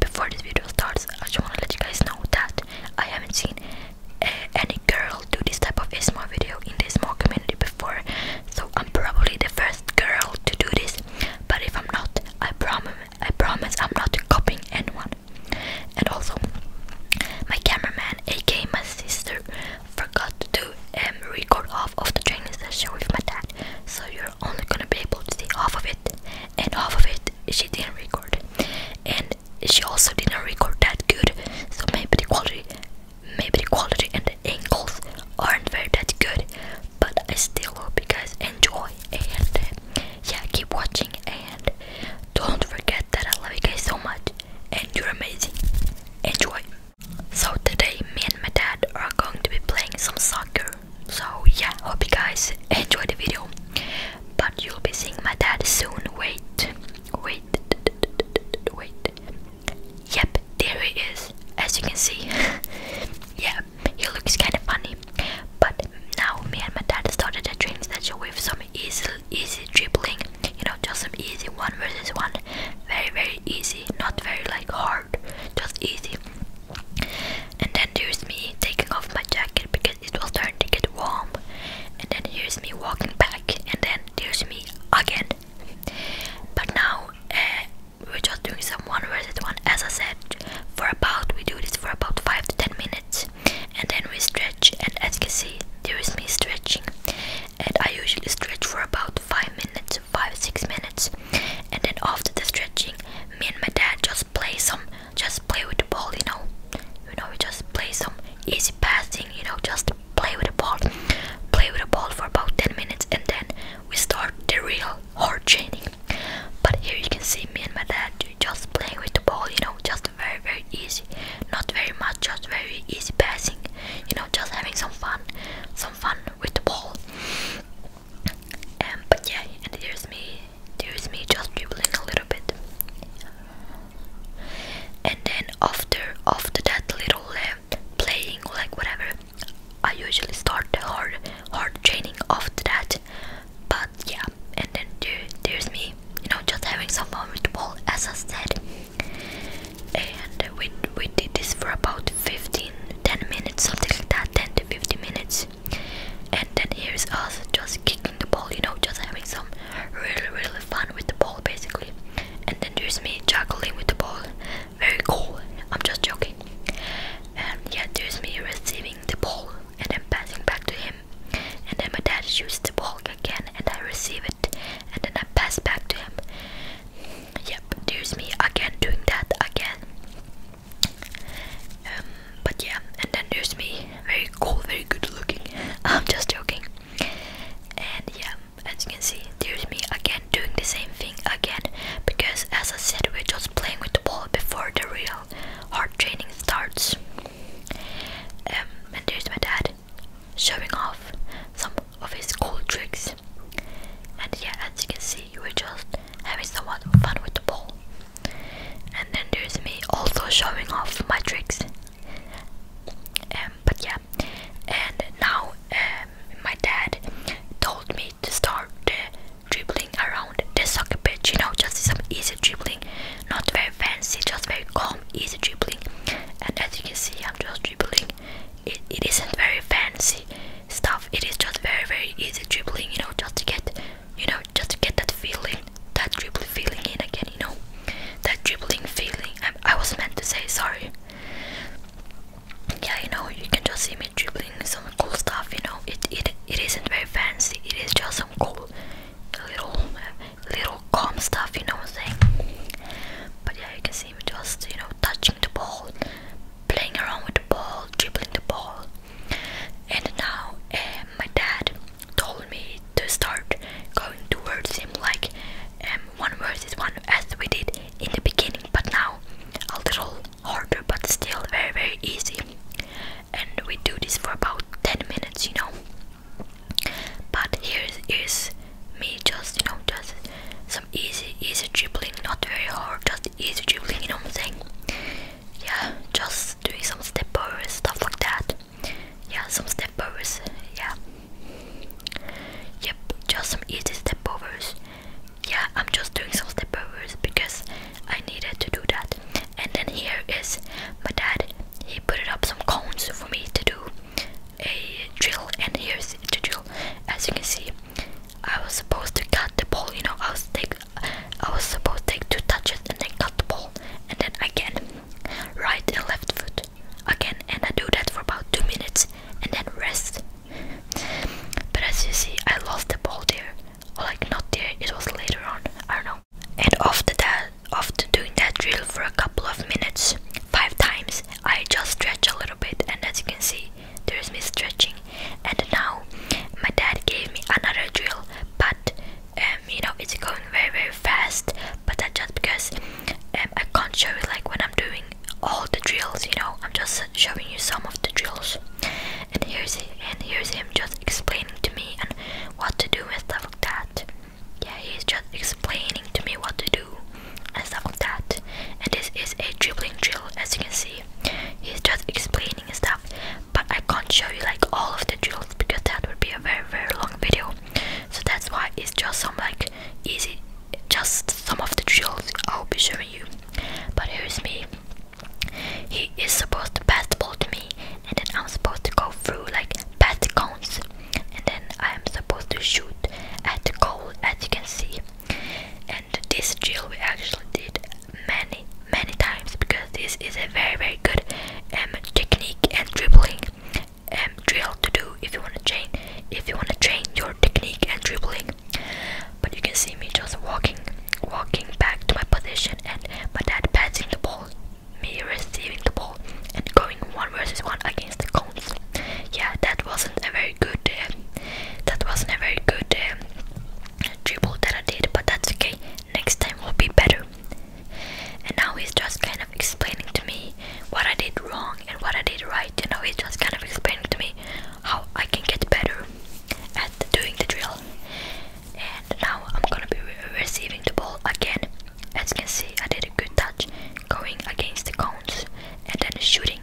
Before this video starts, I just want to let you guys know that I haven't seen eh, any girl do this type of a small video in this small community before, so I'm probably the first girl to do this. But if I'm not, I promise, I promise, I'm not copying anyone. And also, my cameraman, aka my sister, forgot to um, record off of the training session with my dad, so you you're only gonna be able to see half of it, and half of it she didn't record, and she also didn't record that good, so maybe the quality, maybe the quality and the angles aren't very that good, but I still hope you guys enjoy, and yeah, keep watching, and don't forget that I love you guys so much, and you're amazing. Enjoy. So today me and my dad are going to be playing some soccer. So yeah, hope you guys enjoy the video. But you'll be seeing my dad soon. Wait, wait, wait. Yep, there he is. As you can see. yeah, he looks kind of funny. But now me and my dad started a training session with some easy, easy dribbling. You know, just some easy one versus one. Very, very easy, not very like hard, just easy. And then there's me taking off my jacket because it will starting to get warm. And then here's me walking back, and then there's me again. But now uh, we're just doing some one versus one, as I said. For about we do this for about five to ten minutes, and then we stretch. And as you can see, there is me stretching, and I usually stretch for about five minutes five six minutes and then after the stretching me and my dad just play some just play with the ball you know you know we just play some easy passing you know just play with the ball play with the ball for about 10 minutes and then we start the real hard training but here you can see me and my dad just playing with the ball you know just very very easy not very much just very easy passing you know just having some fun some fun with the ball. Um, but yeah, and there's me, there's me just dribbling a little bit. And then after after that little uh, playing, like whatever, I usually start hard hard training after that. But yeah, and then there, there's me, you know, just having some fun with the ball, as I said and we, we did this for about 15 minutes something like that 10 to 15 minutes and then here's us just kicking the ball you know just having some really really fun with the ball basically and then there's me juggling with the ball very cool i'm just joking and yeah there's me receiving the ball and then passing back to him and then my dad shoots the ball again and i receive it and then i pass back to him Yep, there's me again doing that again. Um, but yeah, and then there's me, very cool, very good looking. I'm just joking. And yeah, as you can see, there's me again doing the same thing again because, as I said, we're just playing with the ball before the real hard training starts. Um, and there's my dad showing off some of his cool tricks. And yeah, as you can see, we're just having some fun with the ball. And then there's me also showing off my tricks. And um, but yeah, and now um, my dad told me to start dribbling around the soccer pitch. You know, just some easy dribbling, not very fancy, just very calm, easy dribbling. And as you can see, I'm just dribbling it, it isn't very fancy stuff it is just very very easy dribbling you know just to get you know just to get that feeling that dribbling feeling in again you know that dribbling feeling I, I was meant to say sorry yeah you know you can just see me dribbling some cool stuff you know it it, it isn't very fancy it is just some cool little uh, little calm stuff, you know what I'm saying? But yeah, you can see me just, you know, touching the ball, playing around with the ball, dribbling the ball. And now uh, my dad told me to start going towards him like um, one versus one as we did in the beginning, but now a little harder, but still very, very easy. And we do this for about 10 minutes, you know. But here is me just, you know, just some easy, easy dribbling, not very hard, just easy dribbling, you know what I'm saying? Yeah, just doing some stepovers stuff like that. Yeah, some stepovers. yeah. Yep, just some easy stepovers. Yeah, I'm just doing some stepovers because I needed to do that. And then here is my dad, he put up some cones for me to do a drill and here's the drill as you can see I was supposed to cut the ball you know I was take I was supposed to take two touches and then cut the ball and then again right and left foot again and I do that for about two minutes and then rest but as you see I lost the ball there or like not there it was later on I don't know and after that after doing that drill for a couple of minutes, five times, I just stretch a little bit and as you can see, there's me stretching. And now my dad gave me another drill, but um, you know, it's going very very fast, but that's just because um, I can't show you like when I'm doing all the drills, you know, I'm just showing you some of the drills. And here's and here's him just explaining to me and what to do with that. Yeah, he's just explaining to me what to do and stuff like that. And this is a dribbling drill, as you can see. He's just explaining stuff, but I can't show you like all of the drills because that would be a very very long video. So that's why it's just some like easy, just some of the drills I'll be showing you. But here's me. He is supposed to pass the ball to me, and then I'm supposed to go through like past cones and then I am supposed to shoot at the goal as you can see and this drill we actually did many many times because this is a very very good um, technique and dribbling um, drill to do if you want to train if you want to train your technique and dribbling but you can see me just walking walking back to my position and my dad passing the ball me receiving the ball and going one versus one against the cones. Yeah, that wasn't a very good. Uh, that wasn't a very good um, dribble that I did, but that's okay. Next time will be better. And now he's just kind of explaining to me what I did wrong and what I did right. You know, he's just kind of explaining to me how I can get better at doing the drill. And now I'm gonna be receiving the ball again as you can see, I did a good touch, going against the cones and then shooting.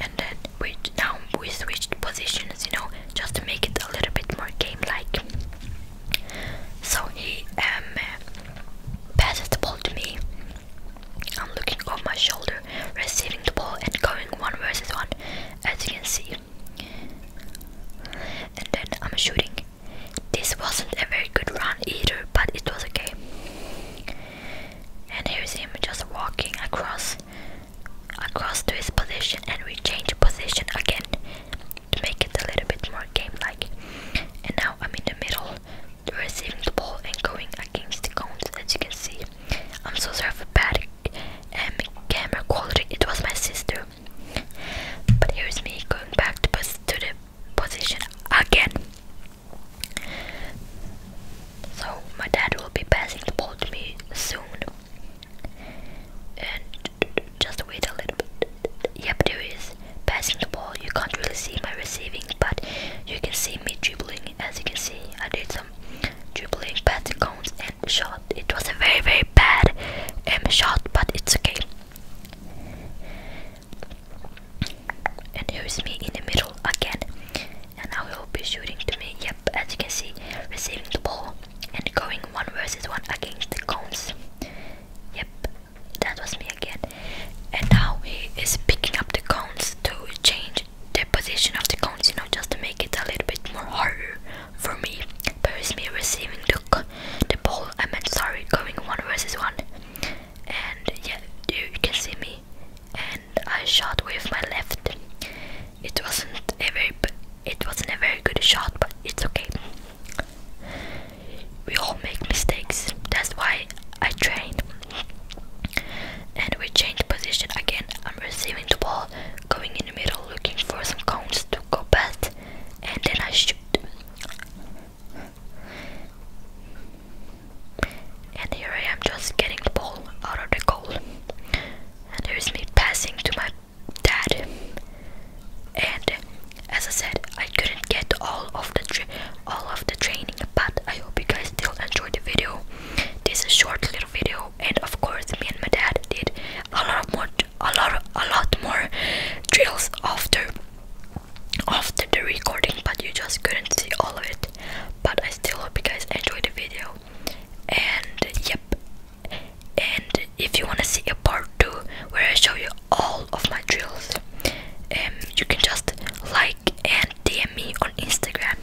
And then we now we switched positions, you know, just to make it a little bit more game-like. So he um, passes the ball to me. I'm looking over my shoulder, receiving the ball and going one versus one, as you can see. And then I'm shooting. This wasn't a very good run either, but it was okay. And here's him just walking across across to his position and we change position again to make it a little bit more game-like. And now I'm in the middle receiving the ball and going against the cones as you can see. I'm so sorry for bad um, camera quality. It was my sister but here's me going back to, the position again. So my dad will be passing the ball to me soon. And just wait a little bit. Yep, there is passing the ball. You can't really see my receiving, but you can see me dribbling. As you can see, I did some awesome dribbling, passing cones, and shot. It was a very, very bad um, shot, but it's okay. And here's me in the middle again. And now he'll be shooting to me. Yep, as you can see, receiving the ball and going one versus one against the cones. Yep, that was me again. And now he is picking up the cones to change the position of the cones, you know, just to make it a little bit more harder for me. Paris me receiving the the ball. I meant sorry, going one versus one. And yeah, you, can see me. And I shot with my left. It wasn't a very it wasn't a very good shot, but it's okay. We all make mistakes. That's why I train. And we change position again. I'm receiving the ball, going in the middle looking for some cones to go past and then I shoot. And here I am just getting the ball out of the goal. And there is me passing to my dad. And as I said, I couldn't get all of the all of the training, but I hope you guys still enjoy the video. This is a short little video and of course me and my dad did a lot more a lot a lot more drills after after the recording but you just couldn't see all of it but I still hope you guys enjoyed the video and yep and if you want to see a part 2 where I show you all of my drills um, you can just like and DM me on Instagram